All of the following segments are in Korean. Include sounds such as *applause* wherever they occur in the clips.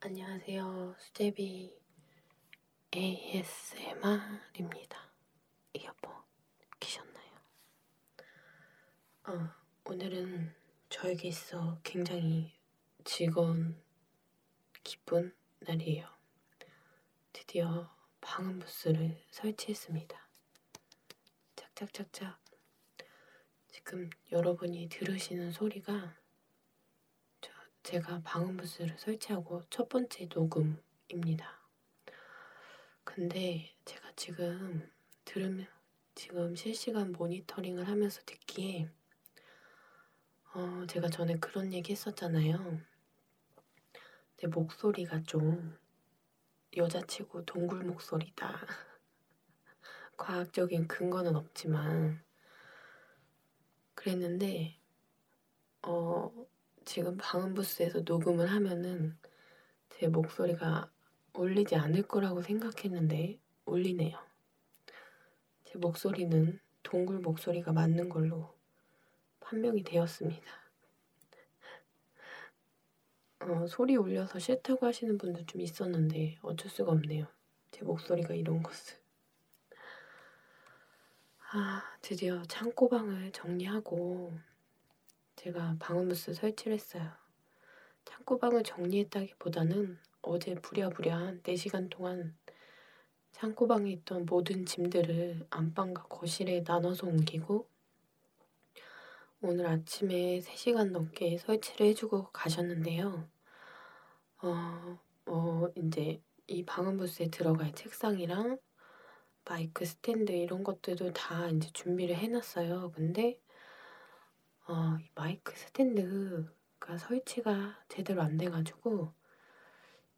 안녕하세요. 수제비 ASMR입니다. 이어폰 끼셨나요? 어, 오늘은 저에게 있어 굉장히 즐거운 기쁜 날이에요. 드디어 방음부스를 설치했습니다. 착착착착. 지금 여러분이 들으시는 소리가 제가 방음부스를 설치하고 첫 번째 녹음입니다. 근데 제가 지금 들으면 지금 실시간 모니터링을 하면서 듣기에 어, 제가 전에 그런 얘기 했었잖아요. 내 목소리가 좀 여자치고 동굴 목소리다. *laughs* 과학적인 근거는 없지만 그랬는데 어 지금 방음부스에서 녹음을 하면은 제 목소리가 울리지 않을 거라고 생각했는데 울리네요. 제 목소리는 동굴 목소리가 맞는 걸로 판명이 되었습니다. 어, 소리 울려서 싫다고 하시는 분들 좀 있었는데 어쩔 수가 없네요. 제 목소리가 이런 것을. 아, 드디어 창고방을 정리하고 제가 방음부스 설치를 했어요. 창고방을 정리했다기보다는 어제 부랴부랴 4시간 동안 창고방에 있던 모든 짐들을 안방과 거실에 나눠서 옮기고 오늘 아침에 3시간 넘게 설치를 해주고 가셨는데요. 어, 어, 이제 이 방음부스에 들어갈 책상이랑 마이크 스탠드 이런 것들도 다 이제 준비를 해놨어요. 근데 어, 이 마이크 스탠드가 설치가 제대로 안 돼가지고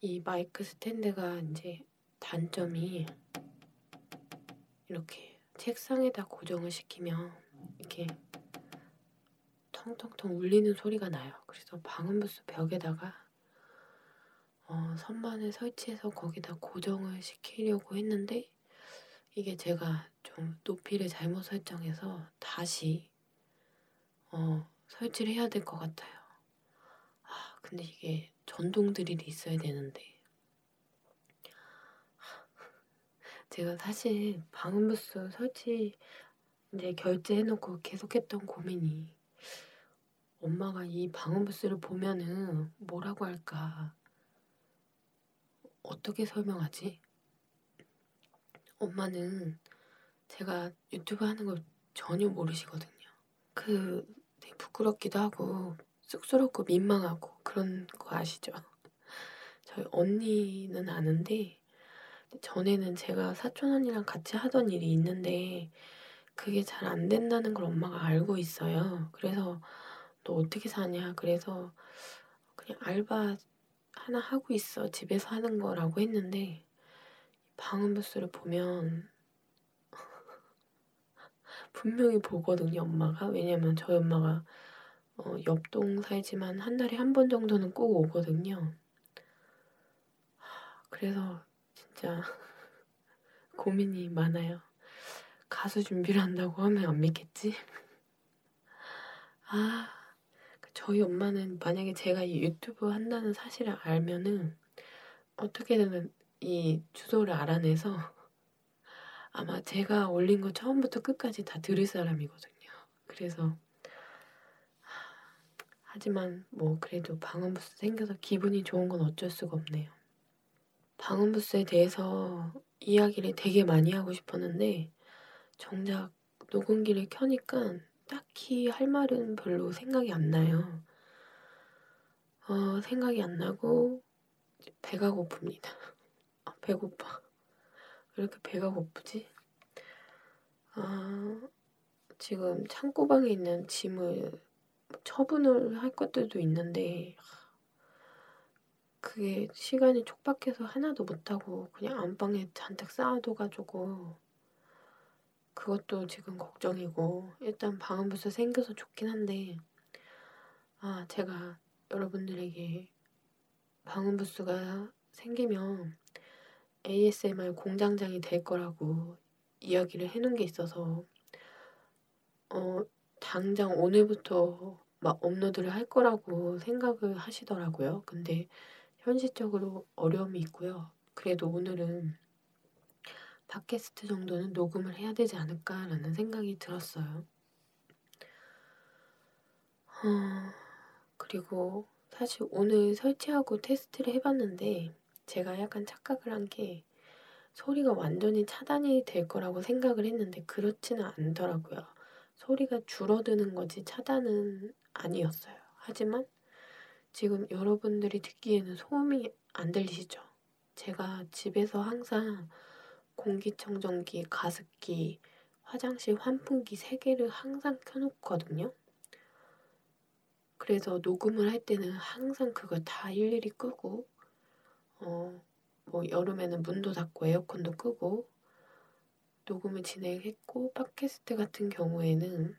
이 마이크 스탠드가 이제 단점이 이렇게 책상에다 고정을 시키면 이렇게 텅텅텅 울리는 소리가 나요. 그래서 방음부스 벽에다가 어, 선반을 설치해서 거기다 고정을 시키려고 했는데 이게 제가 좀 높이를 잘못 설정해서 다시 어, 설치를 해야 될 것 같아요. 아, 근데 이게 전동 드릴이 있어야 되는데 제가 사실 방음부스 설치 이제 결제해놓고 계속했던 고민이 엄마가 이 방음부스를 보면은 뭐라고 할까? 어떻게 설명하지? 엄마는 제가 유튜브 하는 걸 전혀 모르시거든요. 그 되게 부끄럽기도 하고 쑥스럽고 민망하고 그런 거 아시죠? 저희 언니는 아는데 전에는 제가 사촌 언니랑 같이 하던 일이 있는데 그게 잘 안 된다는 걸 엄마가 알고 있어요. 그래서 너 어떻게 사냐? 그래서 그냥 알바 하나 하고 있어. 집에서 하는 거라고 했는데 방음부스를 보면 *laughs* 분명히 보거든요, 엄마가. 왜냐면 저희 엄마가 어, 옆동 살지만 한 달에 한 번 정도는 꼭 오거든요. 그래서 진짜 *laughs* 고민이 많아요. 가수 준비를 한다고 하면 안 믿겠지? 아, 그 저희 엄마는 만약에 제가 이 유튜브 한다는 사실을 알면은 어떻게든 이 주소를 알아내서 아마 제가 올린 거 처음부터 끝까지 다 들을 사람이거든요. 그래서 하지만 뭐 그래도 방음부스 생겨서 기분이 좋은 건 어쩔 수가 없네요. 방음부스에 대해서 이야기를 되게 많이 하고 싶었는데 정작 녹음기를 켜니까 딱히 할 말은 별로 생각이 안 나요. 어, 생각이 안 나고 배가 고픕니다. 아, 배고파. 왜 이렇게 배가 고프지? 아, 지금 창고방에 있는 짐을 처분을 할 것들도 있는데, 그게 시간이 촉박해서 하나도 못하고 그냥 안방에 잔뜩 쌓아둬가지고 그것도 지금 걱정이고 일단 방음부스 생겨서 좋긴 한데 아 제가 여러분들에게 방음 부스가 생기면 ASMR 공장장이 될 거라고 이야기를 해놓은 게 있어서 어, 당장 오늘부터 막 업로드를 할 거라고 생각을 하시더라고요. 근데 현실적으로 어려움이 있고요. 그래도 오늘은 팟캐스트 정도는 녹음을 해야 되지 않을까라는 생각이 들었어요. 아, 그리고 사실 오늘 설치하고 테스트를 해봤는데 제가 약간 착각을 한 게 소리가 완전히 차단이 될 거라고 생각을 했는데 그렇지는 않더라고요. 소리가 줄어드는 거지 차단은 아니었어요. 하지만 지금 여러분들이 듣기에는 소음이 안 들리시죠? 제가 집에서 항상 공기청정기, 가습기, 화장실 환풍기 세 개를 항상 켜놓거든요. 그래서 녹음을 할 때는 항상 그걸 다 일일이 끄고, 어, 뭐 여름에는 문도 닫고 에어컨도 끄고, 녹음을 진행했고, 팟캐스트 같은 경우에는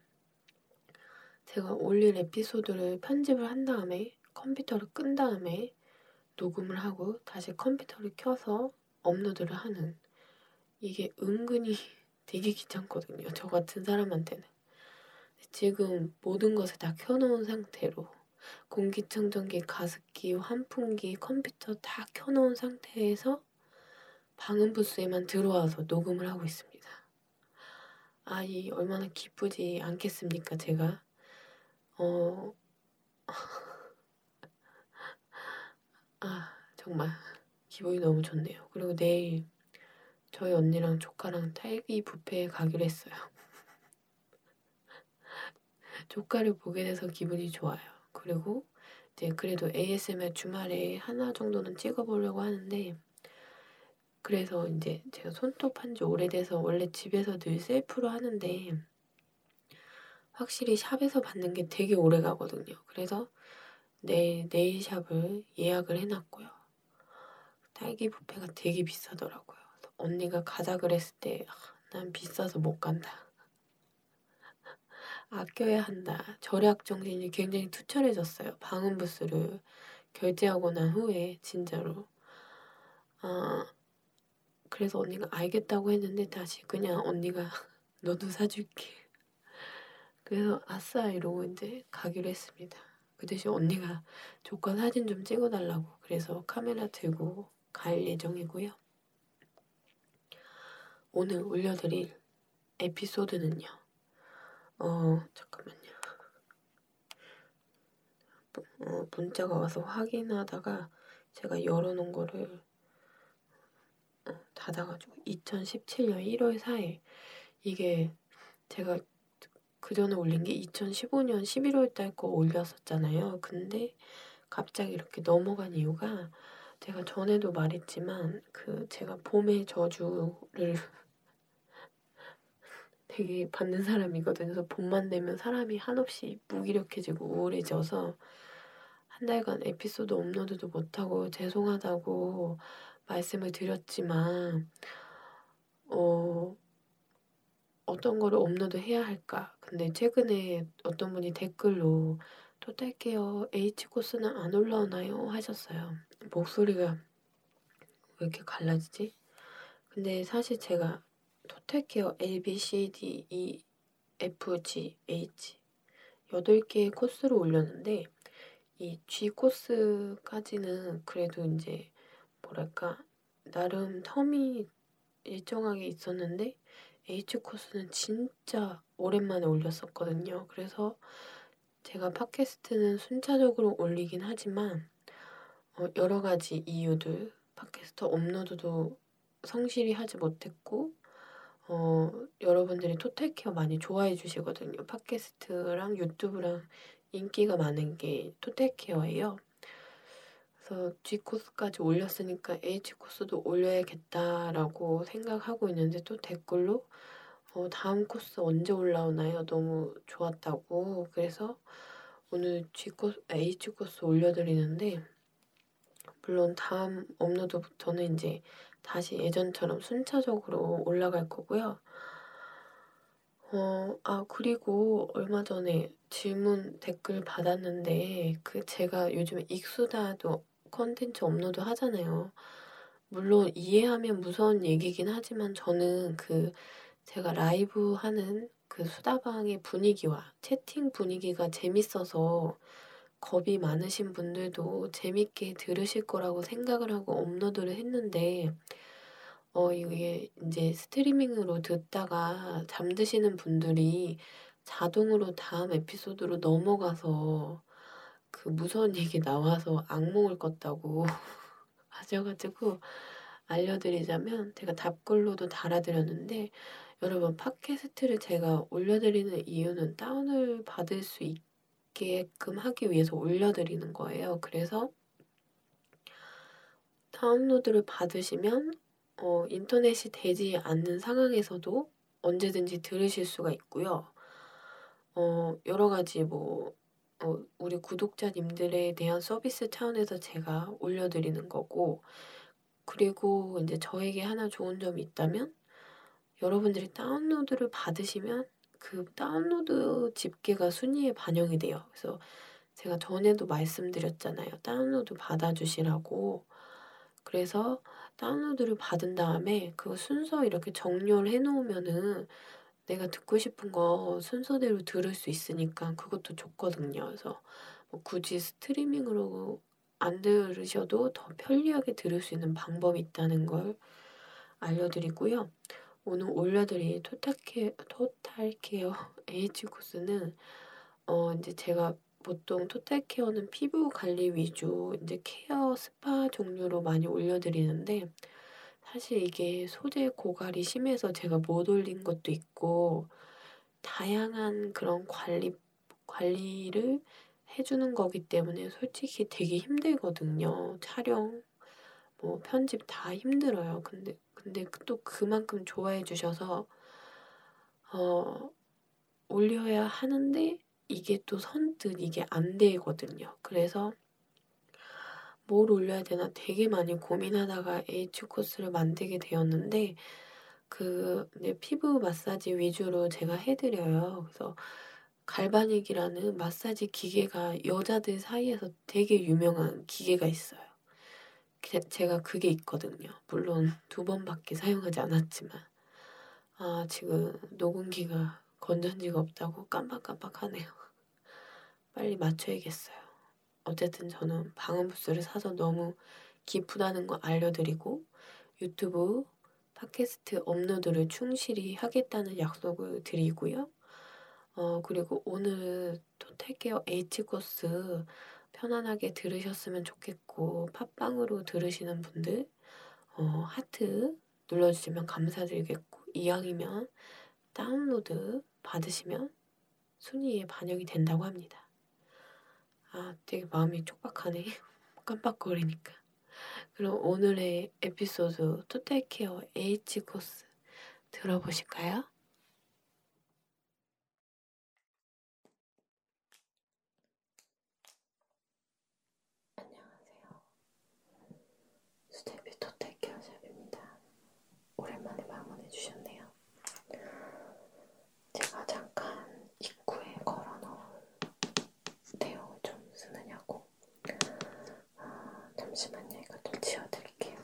제가 올릴 에피소드를 편집을 한 다음에 컴퓨터를 끈 다음에 녹음을 하고 다시 컴퓨터를 켜서 업로드를 하는 이게 은근히 *laughs* 되게 귀찮거든요. 저 같은 사람한테는. 지금 모든 것을 다 켜놓은 상태로 공기청정기, 가습기, 환풍기, 컴퓨터 다 켜놓은 상태에서 방음 부스에만 들어와서 녹음을 하고 있습니다. 아이 얼마나 기쁘지 않겠습니까 제가 어 *laughs* 아, 정말 기분이 너무 좋네요. 그리고 내일 저희 언니랑 조카랑 딸기 뷔페에 가기로 했어요. *laughs* 조카를 보게 돼서 기분이 좋아요. 그리고 이제 그래도 ASMR 주말에 하나 정도는 찍어보려고 하는데 그래서 이제 제가 손톱 한지 오래돼서 원래 집에서 늘 셀프로 하는데 확실히 샵에서 받는 게 음. 되게 오래 가거든요. 그래서 내 네, 네일샵을 예약을 해놨고요. 딸기 뷔페가 되게 비싸더라고요. 언니가 가자 그랬을 때 아, 난 비싸서 못 간다. *laughs* 아껴야 한다. 절약 정신이 굉장히 투철해졌어요. 방음 부스를 결제하고 난 후에 진짜로. 아, 그래서 언니가 알겠다고 했는데 다시 그냥 언니가 *laughs* 너도 사줄게. 그래서 아싸 이러고 이제 가기로 했습니다. 그 대신 언니가 조카 사진 좀 찍어달라고 그래서 카메라 들고 갈 예정이고요. 오늘 올려드릴 에피소드는요. 어 잠깐만요. 어, 문자가 와서 확인하다가 제가 열어놓은 거를 어, 닫아가지고 2017년 1월 4일 이게 제가 그 전에 올린 게 2015년 11월 달 거 올렸었잖아요. 근데 갑자기 이렇게 넘어간 이유가 제가 전에도 말했지만 그 제가 봄의 저주를 *laughs* 되게 받는 사람이거든요. 그래서 봄만 되면 사람이 한없이 무기력해지고 우울해져서 한 달간 에피소드 업로드도 못하고 죄송하다고 말씀을 드렸지만 어, 어떤 거를 업로드 해야 할까? 근데 최근에 어떤 분이 댓글로 또 딸게요. H 코스는 안 올라오나요? 하셨어요. 목소리가 왜 이렇게 갈라지지? 근데 사실 제가 토탈케어 A, B, C, D, E, FGH 8개의 코스를 올렸는데 이 G 코스까지는 그래도 이제 뭐랄까 나름 텀이 일정하게 있었는데 H 코스는 진짜 오랜만에 올렸었거든요. 그래서 제가 팟캐스트는 순차적으로 올리긴 하지만 어, 여러 가지 이유들 팟캐스트 업로드도 성실히 하지 못했고 어, 여러분들이 토탈케어 많이 좋아해 주시거든요. 팟캐스트랑 유튜브랑 인기가 많은 게 토탈케어예요. 그래서 G코스까지 올렸으니까 H코스도 올려야겠다라고 생각하고 있는데 또 댓글로 어, 다음 코스 언제 올라오나요? 너무 좋았다고. 그래서 오늘 G코스, H코스 올려드리는데 물론 다음 업로드부터는 이제 다시 예전처럼 순차적으로 올라갈 거고요. 어, 아, 그리고 얼마 전에 질문 댓글 받았는데, 그 제가 요즘에 익수다도 컨텐츠 업로드 하잖아요. 물론 이해하면 무서운 얘기긴 하지만 저는 그 제가 라이브 하는 저는 그 수다방의 분위기와 채팅 분위기가 재밌어서 겁이 많으신 분들도 재밌게 들으실 거라고 생각을 하고 업로드를 했는데 어 이게 이제 스트리밍으로 듣다가 잠드시는 분들이 자동으로 다음 에피소드로 넘어가서 그 무서운 *laughs* 얘기 나와서 악몽을 꿨다고 *laughs* 하셔가지고 알려드리자면 제가 답글로도 달아드렸는데 여러분 팟캐스트를 제가 올려드리는 이유는 다운을 받을 수 있게끔 하기 위해서 올려드리는 거예요. 그래서 다운로드를 받으시면 어, 인터넷이 되지 않는 상황에서도 언제든지 들으실 수가 있고요. 어, 여러 가지 뭐 어, 우리 구독자님들에 대한 서비스 차원에서 제가 올려드리는 거고 그리고 이제 저에게 하나 좋은 점이 있다면 여러분들이 다운로드를 받으시면 그 다운로드 집계가 순위에 반영이 돼요. 그래서 제가 전에도 말씀드렸잖아요. 다운로드 받아주시라고. 그래서 다운로드를 받은 다음에 그 순서 이렇게 정렬해 놓으면은 내가 듣고 싶은 거 순서대로 들을 수 있으니까 그것도 좋거든요. 그래서 뭐 굳이 스트리밍으로 안 들으셔도 더 편리하게 들을 수 있는 방법이 있다는 걸 알려드리고요. 오늘 올려드린 토탈케어, 토탈케어 H *laughs* 코스는 어 이제 제가 보통 토탈케어는 피부 관리 위주 이제 케어 스파 종류로 많이 올려드리는데 사실 이게 소재 고갈이 심해서 제가 못 올린 것도 있고 다양한 그런 관리, 관리를 해주는 거기 때문에 솔직히 되게 힘들거든요. 촬영, 뭐 편집 다 힘들어요. 근데, 근데 또 그만큼 좋아해 주셔서, 어, 올려야 하는데 이게 또 선뜻 이게 안 되거든요. 그래서 뭘 올려야 되나 되게 많이 고민하다가 H 코스를 만들게 되었는데 그 피부 마사지 위주로 제가 해드려요. 그래서 갈바닉이라는 마사지 기계가 여자들 사이에서 되게 유명한 기계가 있어요. 제가 그게 있거든요. 물론 두 번밖에 사용하지 않았지만 아 지금 녹음기가 건전지가 없다고 깜빡깜빡하네요. *laughs* 빨리 맞춰야겠어요. 어쨌든 저는 방음 부스를 사서 너무 기쁘다는 걸 알려드리고 유튜브 팟캐스트 업로드를 충실히 하겠다는 약속을 드리고요. 어, 그리고 오늘 토탈케어 H 코스 편안하게 들으셨으면 좋겠고 팟빵으로 들으시는 분들 어, 하트 눌러주시면 감사드리겠고 이왕이면 다운로드 받으시면 순위에 반영이 된다고 합니다. 아, 되게 마음이 촉박하네. *laughs* 깜빡거리니까. 그럼 오늘의 에피소드 토탈케어 H 코스 들어보실까요? 안녕하세요. 수제비 토탈케어 샵입니다. 오랜만에 방문해 주셨네요. 제가 잠깐 입구에 걸어놓은 내용을 좀 쓰느냐고 아, 잠시만요 이거 또 지워드릴게요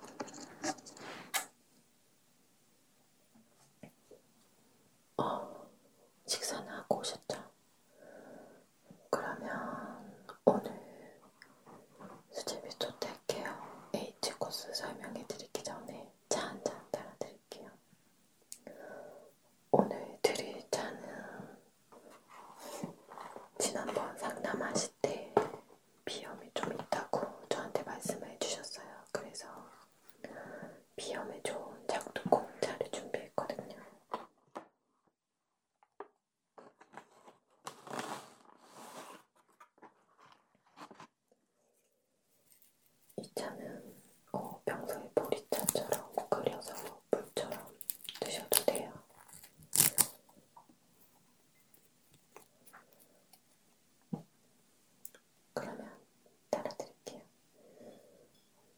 어, 식사는 하고 오셨죠? 그러면 오늘 수제비 초대할게요 H코스 설명해드리기 전에 차 한잔 따라드릴게요. 오늘 드릴 차는 지난번 상담하실 때 비염이 좀 있다고 저한테 말씀을 해주셨어요. 그래서 비염에 좋은 작두콩차를 준비했거든요. 이 차는 어, 평소에 보리차처럼 끓여서 물처럼 드셔도 돼요. 그러면 따라드릴게요.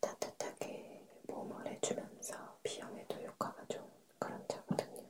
따뜻하게 몸을 해주면서 비염에도 효과가 좋은 그런 차거든요.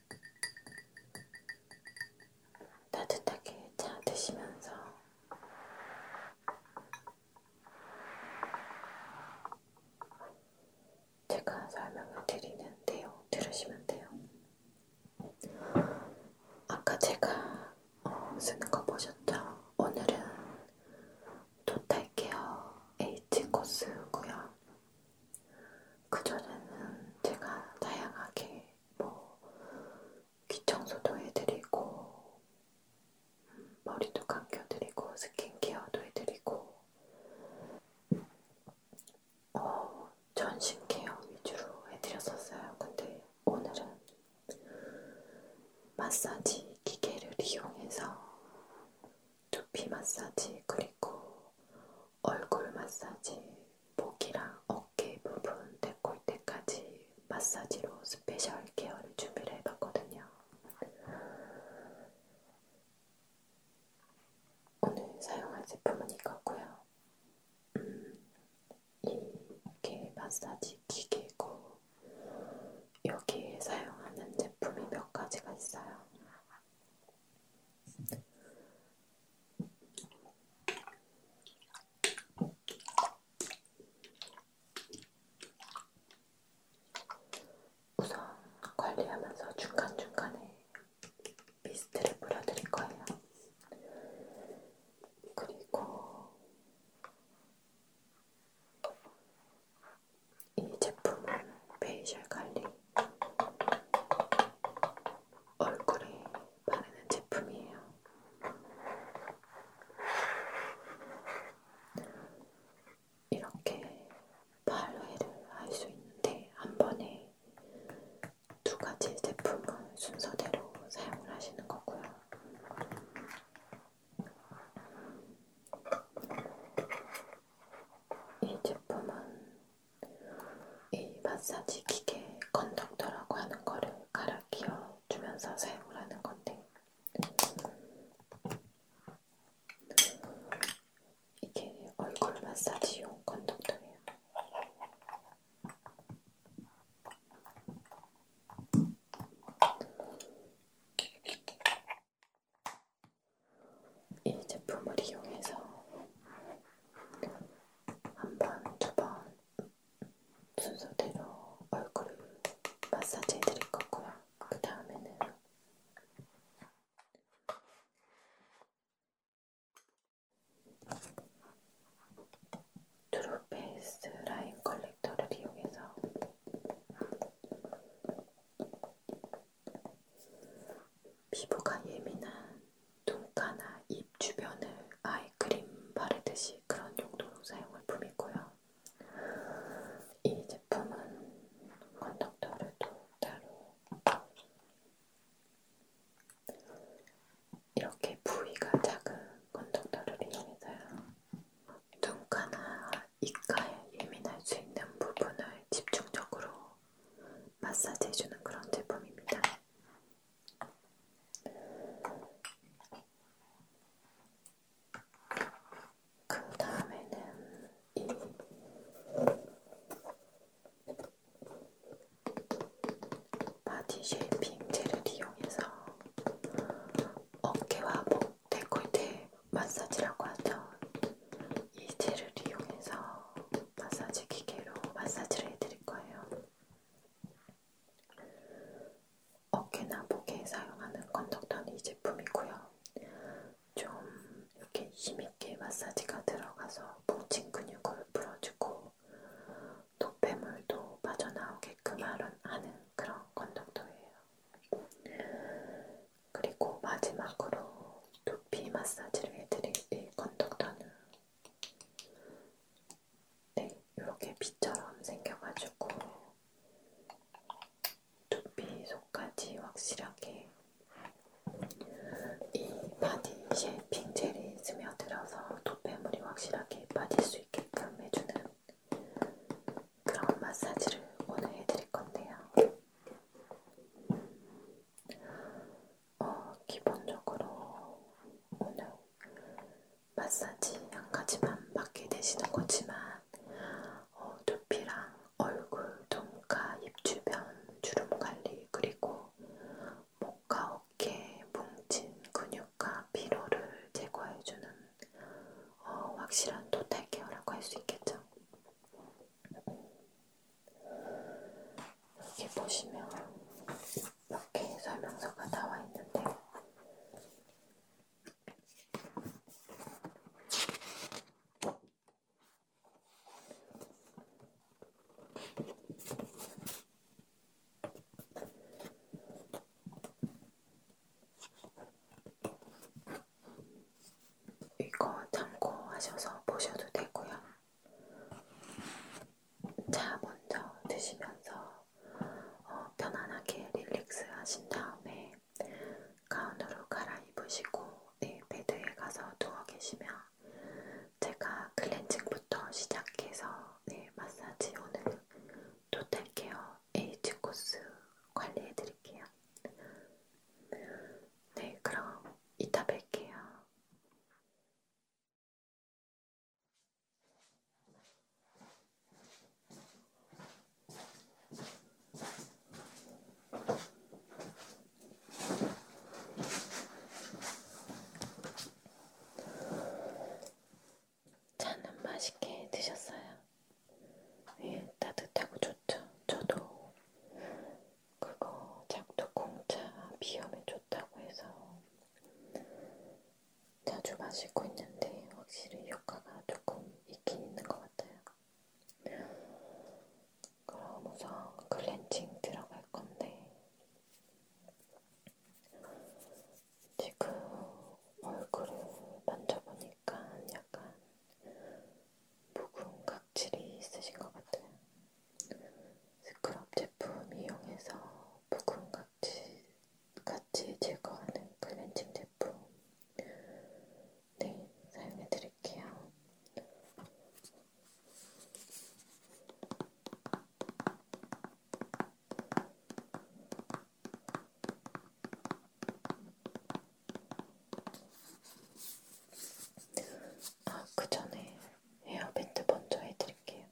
따뜻하게 차 드시면서 제가 설명을 드리는 내용 들으시면 돼요. 아까 제가 어, 쓰는 거 보셨죠? 오늘은 토탈케어 H 코스고요. 그전에는 제가 다양하게 뭐 귀청소도 해드리고 머리도 감겨드리고 스킨케어도 해드리고 어, 전신케어 위주로 해드렸었어요. 근데 오늘은 마사지 기계를 이용해서 두피 마사지 그리고 얼굴 마사지, 목이랑 어깨 부분, 데콜테까지 마사지로 스페셜 케어를 준비를 해봤거든요. 오늘 사용한 제품은 이거고요. 음, 이게 마사지 기계고 여기에 사용하는 제품이 몇 가지가 있어요. 우선 관리하면서 중간중간에 미스트를 뿌려드릴 거예요. 그리고 이 제품은 페이셜 관리 얼굴에 바르는 제품이에요. 이렇게 발회를 할 수 있는데 한 번에 두 가지 제품을 순서대로 사용을 하시는 거고요. 이 제품은 이 마사지 기계 컨덕터라고 하는 거를 갈아 끼워 주면서 사용을 하는 건데 이게 얼굴 마사지용 컨덕터예요. 이 제품을 이용해서 한 번, 두 번 순서대로 얼굴을 마사지 해드릴 거고요. 그 다음에는 트루페이스 라인 컬렉터를 이용해서 피부가 예민한 눈가나 입 주변을 아이크림 바르듯이 그런 용도로 사용할 품이고요. 이 제품은 컨덕터를 또 따로 이렇게 부위가 작은 컨덕터를 이용해서요. 눈가나 입가에 예민할 수 있는 부분을 집중적으로 마사지해주는 그런 제품입니다. 그 다음에는 이 바디 쉐이핑 젤을 이용해서 어깨와 목, 데콜테 네 마사지라고 하죠. 이 젤을 이용해서 마사지 기계로 마사지를 해드릴 거예요. 어깨나 목에 사용하는 건덕터는 이 제품이고요. 좀 이렇게 힘있게 마사지가 들어가서 뭉친 근육을 풀어주고 노폐물도 빠져나오게끔 하는 그런 건덕터예요. 그리고 마지막으로 두피 마사지를 해드릴 이 건덕터는 네, 이렇게 빗처럼 생겨가지고 두피 속까지 확실하게 이 바디 쉐이핑 젤이 스며들어서 도배물이 확실하게 빠질 수 있게끔 해주는 그런 마사지를 오늘 해드릴 건데요. 어, 기본적으로 오늘 마사지 한 가지만 받게 되시는 거지만 어, 두피랑 얼굴, 눈가, 입 주변 주름 관리 그리고 목과 어깨 뭉친 근육과 피로를 제거해주는 어, 확실한 토탈 케어라고 할 수 있겠죠. 여기 보시면 이렇게 설명서가 나와 있는데 이거 참고하셔서 보셔도 되고요. 차 먼저 드시면서 어, 편안하게 릴렉스 하신 다음에 가운으로 갈아입으시고 네, 베드에 가서 누워 계시면 제가 클렌징부터 시작해서 네, 마사지 오늘 토탈케어 에이지 코스 관리해드릴게요. 네, 그럼 이따 뵐게요. 차는 맛있게 드셨어요? 예, 따뜻하고 좋죠. 저도 그거 작두콩차 비염에 좋다고 해서 자주 마시고 있는데 확실히 효과가 조금 있긴 있는 것 같아요. 그럼 우선 클렌징 들어갈 건데 지금 얼굴을 만져보니까 약간 묵은 각 각질이 있으신 것 같아요. 스크럽 제품 이용해서 묵은 각질 같이 제거하는 클렌징 제품 네, 사용해 드릴게요. 아, 그 전에 에어밴드 먼저 해드릴게요.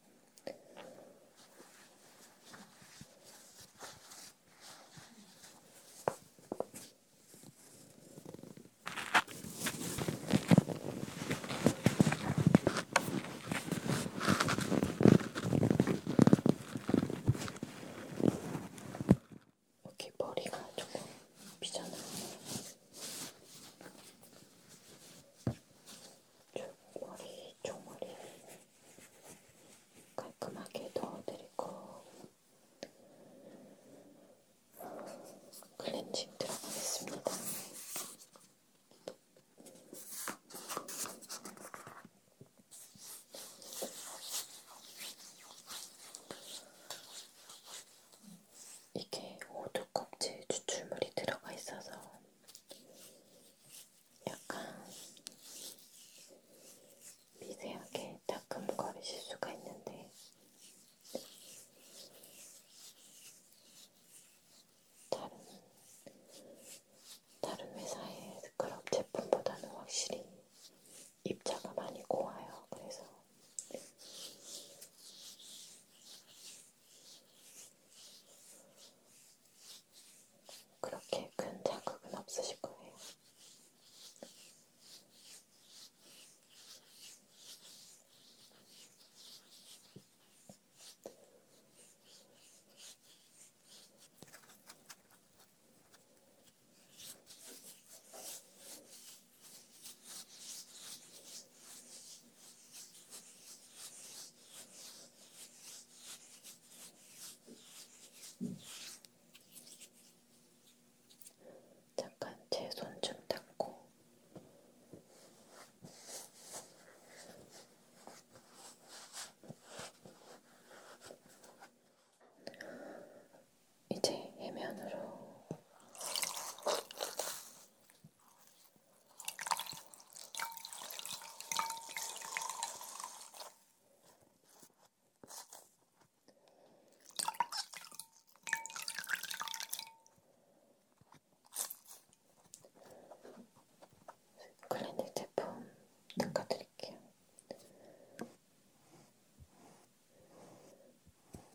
여기 머리가 조금 비잖아요. 머리 종아리 깔끔하게 넣어드리고 클렌징 들어가겠습니다. 이게 호두 껍질 추출물이 들어가 있어서 약간 미세하게 따끔거리실 수가 있는데 다른 다른 회사의 스크럽 제품보다는 확실히 입자가 많이 고와요. 그래서 그렇게 큰 자극은 없으실 거예요. 잠깐 제 손 좀 닦고 이제 해면으로 클리닉 제품 닦아드릴게요.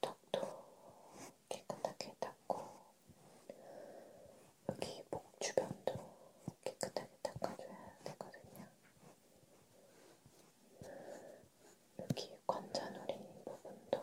턱도 깨끗하게 닦고 여기 목 주변도 깨끗하게 닦아줘야 되거든요. 여기 관자놀이 부분도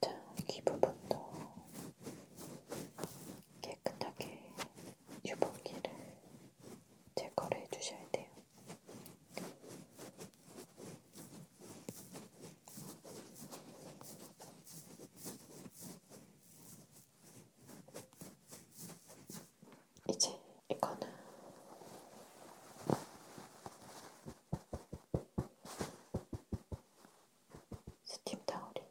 자, 여기 부분도 깨끗하게 유분기를 제거를 해주셔야 돼요. 이제 이거는 스팀 타올이에요.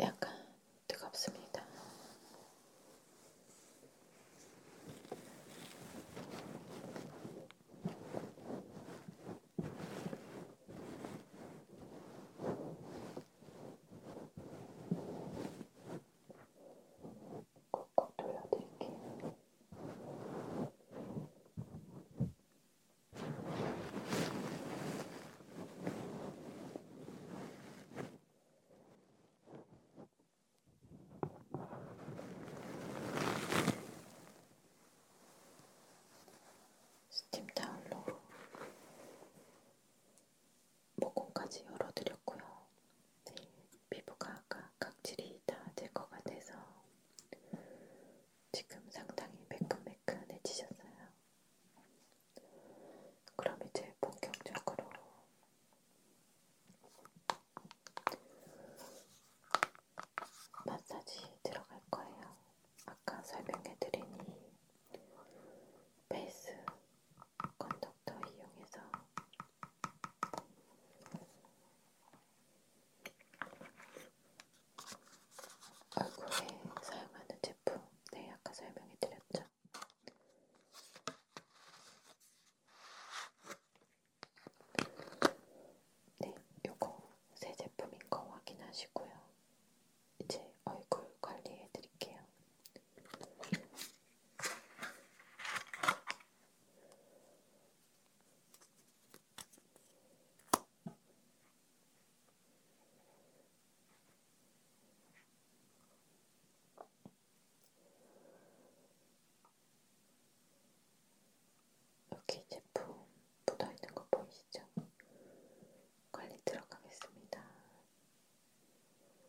약간 뜨겁습니다. 콕콕 돌려드릴게요. 스팀 타올로 모공까지 열어드렸고요. 네, 피부가 아까 각질이 다 제거가 돼서 지금 상당히 매끈매끈해지셨어요. 그럼 이제 본격적으로 마사지 들어갈 거예요. 아까 설명해드린 이 베이스 건덕터 이용해서 얼굴에 사용하는 제품, 네, 아까 설명해드렸죠. 네, 요거 새 제품인 거 확인하시고요. 이제 얼굴 관리해드릴게요. 여기 제품 묻어있는 거 보이시죠? 관리 들어가겠습니다.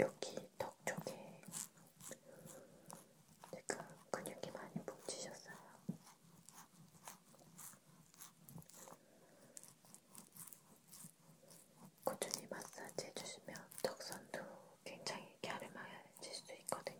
여기 턱 쪽에 제가 근육이 많이 뭉치셨어요. 꾸준히 마사지 해주시면 턱선도 굉장히 갸름해질 수 있거든요.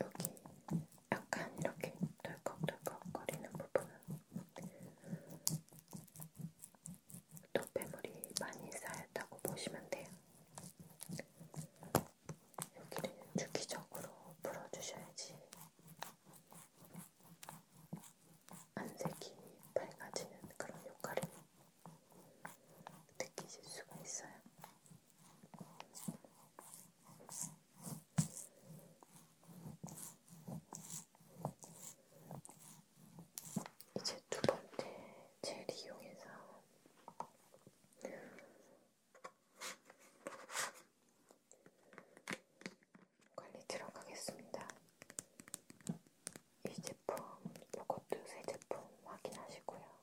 여기 약간 이렇게 덜컥덜컥 거리는 부분은 노폐물이 많이 쌓였다고 보시면 돼요. 여기를 주기적으로 풀어주셔야지 안색이 밝아지는 그런 효과를 느끼실 수가 있어요. 이제 두 번째 젤 이용해서 관리 들어가겠습니다. 이 제품, 이것도 새 제품 확인하시고요.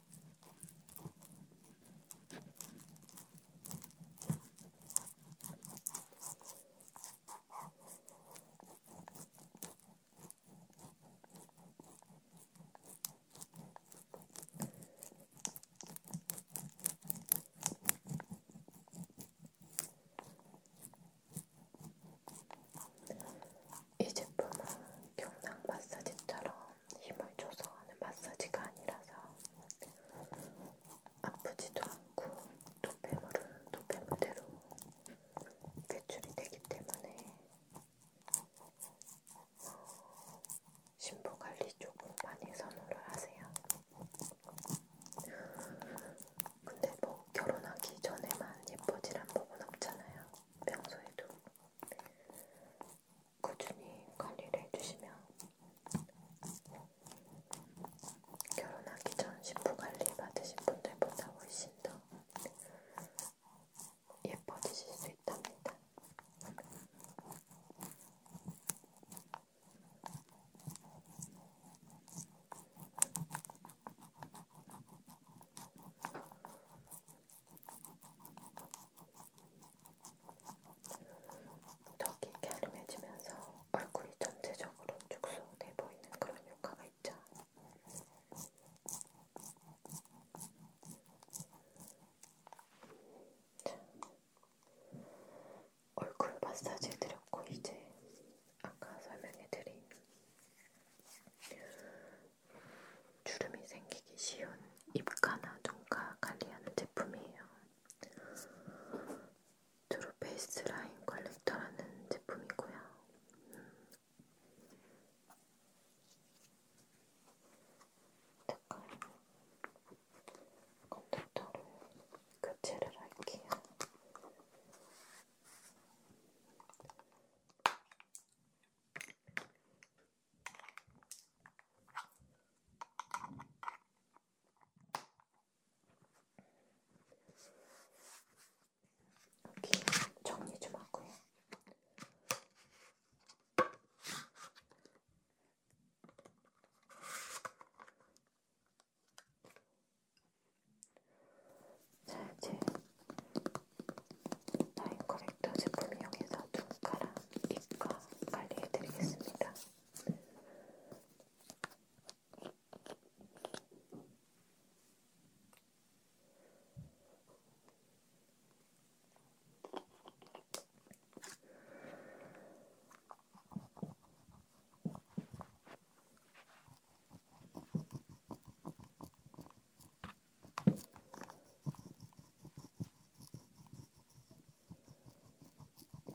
이 제품은 경락 마사지처럼 힘을 줘서 하는 마사지가 아니라서 아프지도 않고 노폐물은 노폐물대로 배출이 되기 때문에 신부 관리 조금 많이 선호를 하세요. 근데 뭐 결혼하기 전에만 예뻐지란 법은 없잖아요. 평소에도 꾸준히 관리를 해주시면 결혼하기 전 신부 관리 받으신 분들보다 훨씬 더 예뻐지실 수 있답니다. 턱이 갸름해지면서 얼굴이 전체적으로 축소돼 보이는 그런 효과가 있죠. 자, 얼굴 마사지 해드렸고 이제 아까 설명해드린 주름이 생기기 쉬운 입가나 눈가 관리하는 제품이에요. 드루 베이스 라인 컬렉터라는 제품이고요. 음. 잠깐 컨택터를 교체를 할게요. 여기 정리 좀 하고요. 자, 이제 라인 커렉터 제품 이용해서 눈가랑 입가 관리해드리겠습니다.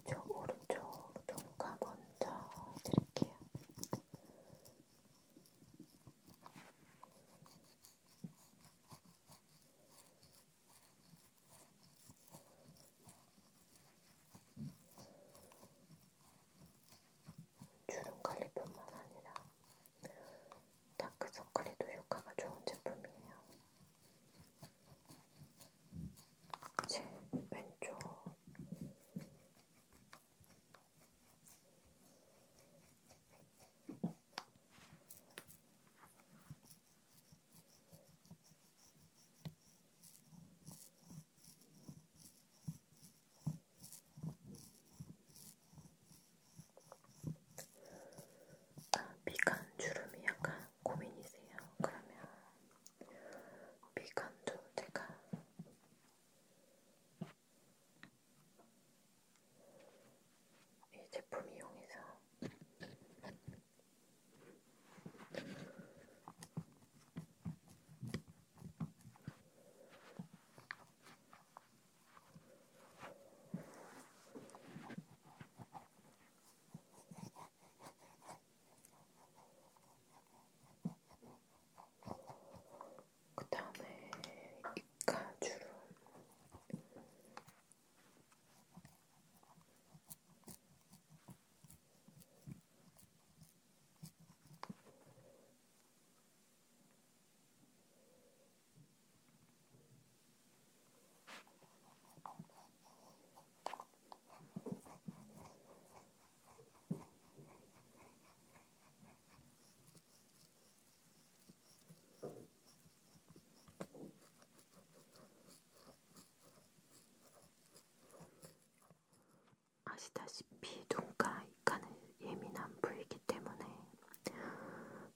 저 오른쪽 눈가 먼저 드릴게요. 주름 관리뿐만 아니라 다크서클에도 효과가 좋은 제품이에요. 제 왼쪽 아, 미간 주름이 약간 고민이세요. 그러면 미간도 제가 이 제품 이용해서 그 다음에 이카주름 아시다시피 눈과 입가는 예민한 부위이기 때문에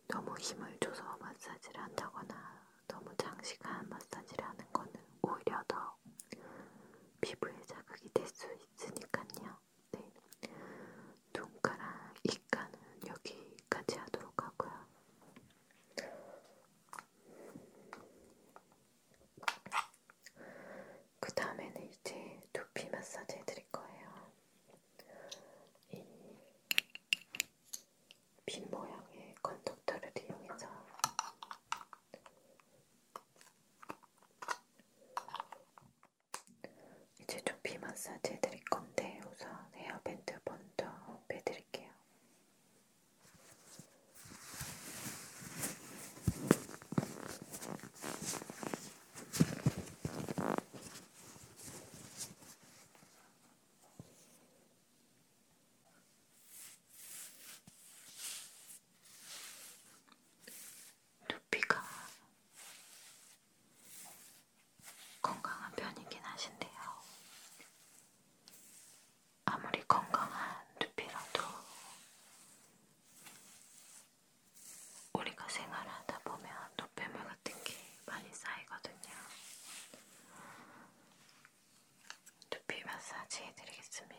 너무 힘을 줘서 마사지를 한다거나 너무 장시간 마사지를 하는 거는 오히려 더 피부에 자극이 될 수 있으니까요. 네. 눈가랑 입가는 여기까지 하도록 하고요. 그 다음에는 이제 두피 마사지 해드릴 거예요. 이핀 모양의 컨덕터를 이용해서 이제 두피 마사지 해드릴 건데 우선 헤어밴드 먼저 빼드릴게요. 두피가 건강한 편이긴 하신데요. 아무리 건강한 두피라도 우리가 생활하다 보면 노폐물 가루가 특히 많이 쌓이거든요. 두피 마사지 해드리겠습니다.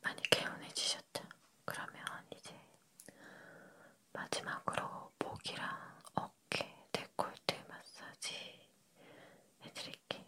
많이 개운해지셨죠? 그러면 이제 마지막으로 목이랑 어깨 데콜테 마사지 해드릴게요.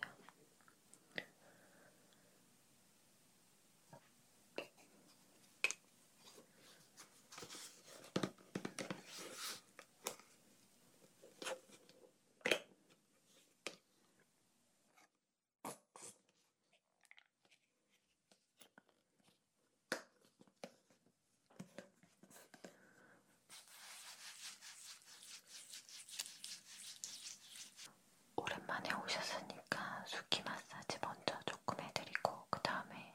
오랜만에 오셨으니까 숙기 마사지 먼저 조금 해드리고 그 다음에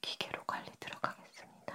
기계로 관리 들어가겠습니다.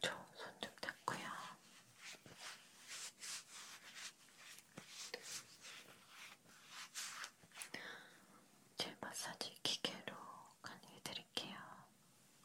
저손좀 닦고요. 제 마사지 기계로 간을 해드릴게요.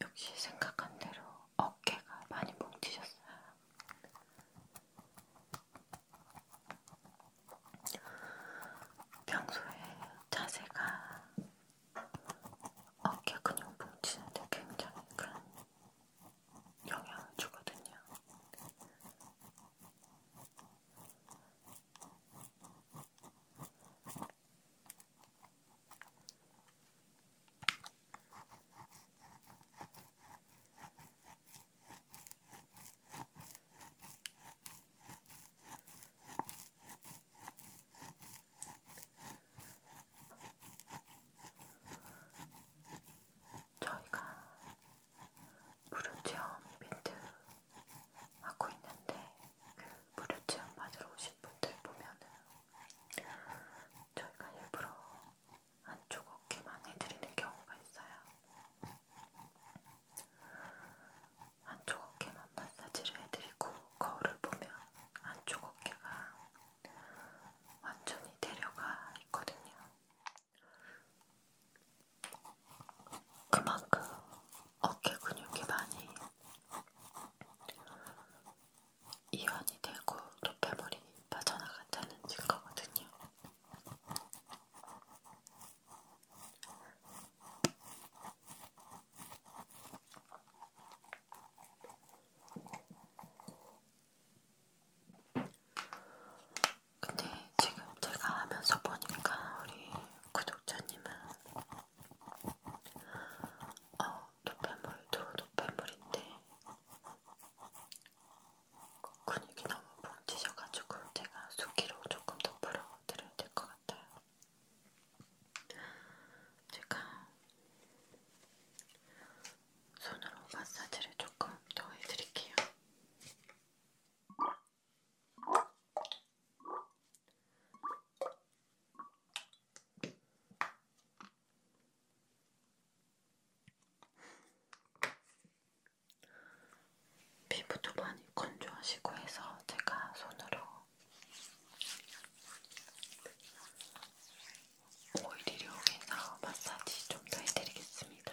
역시 생각한 대로 어깨가 많이 뭉치셨어요. 평소에 자세가 어깨 근육 뭉치는데 굉장히 큰 영향을 주거든요. 저희가 무료 체험 이벤트 하고 있는데 그 무료 체험 받으러 오신 분들 보면은 저희가 일부러 안쪽 어깨만 해드리는 경우가 있어요. 안쪽 어깨만 마사지를 해드리고 거울을 보면 안쪽 어깨가 완전히 내려가 있거든요. 그만큼 어깨 근육이 많이 이완이 되고 노폐물이 빠져나간다는 증거거든요. 근데 지금 제가 하면서 보니까 우리 구독자님은 어, 노폐물도 노폐물인데 근육이 너무 뭉치셔가지고 제가 수기로 조금 더 풀어드려야 될것 같아요. 제가 손으로 마사지를 조금 더 해드릴게요. 피부도 많이 건조하시고 해서 제가 손으로 오일이 오면서 마사지 좀 더 해드리겠습니다.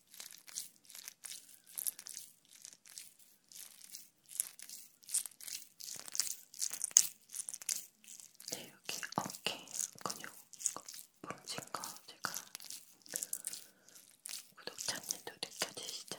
네, 여기 어깨 근육 뭉친 거 제가 구독자님도 느껴지시죠?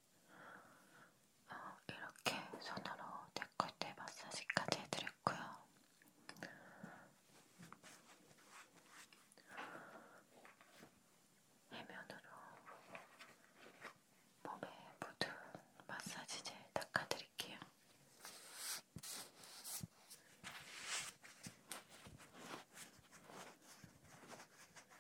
어, 이렇게 손으로 데콜테 마사지까지 해드렸고요. 해면으로 몸에 묻은 마사지젤 닦아드릴게요.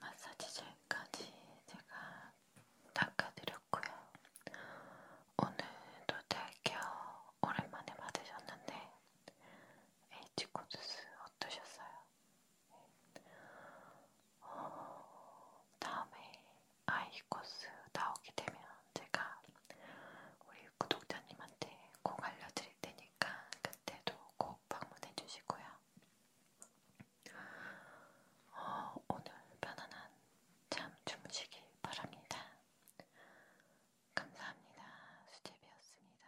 마사지 젤까지 제가 닦아드렸고요. 오늘도 대결 오랜만에 받으셨는데 H코드스 어떠셨어요? 어, 다음에 아이코스 나오게 되면 제가 우리 구독자님한테 꼭 알려드릴 테니까 그때도 꼭 방문해 주시고요. 어, 오늘 편안한 잠 주무시길 바랍니다. 감사합니다. 수제비였습니다.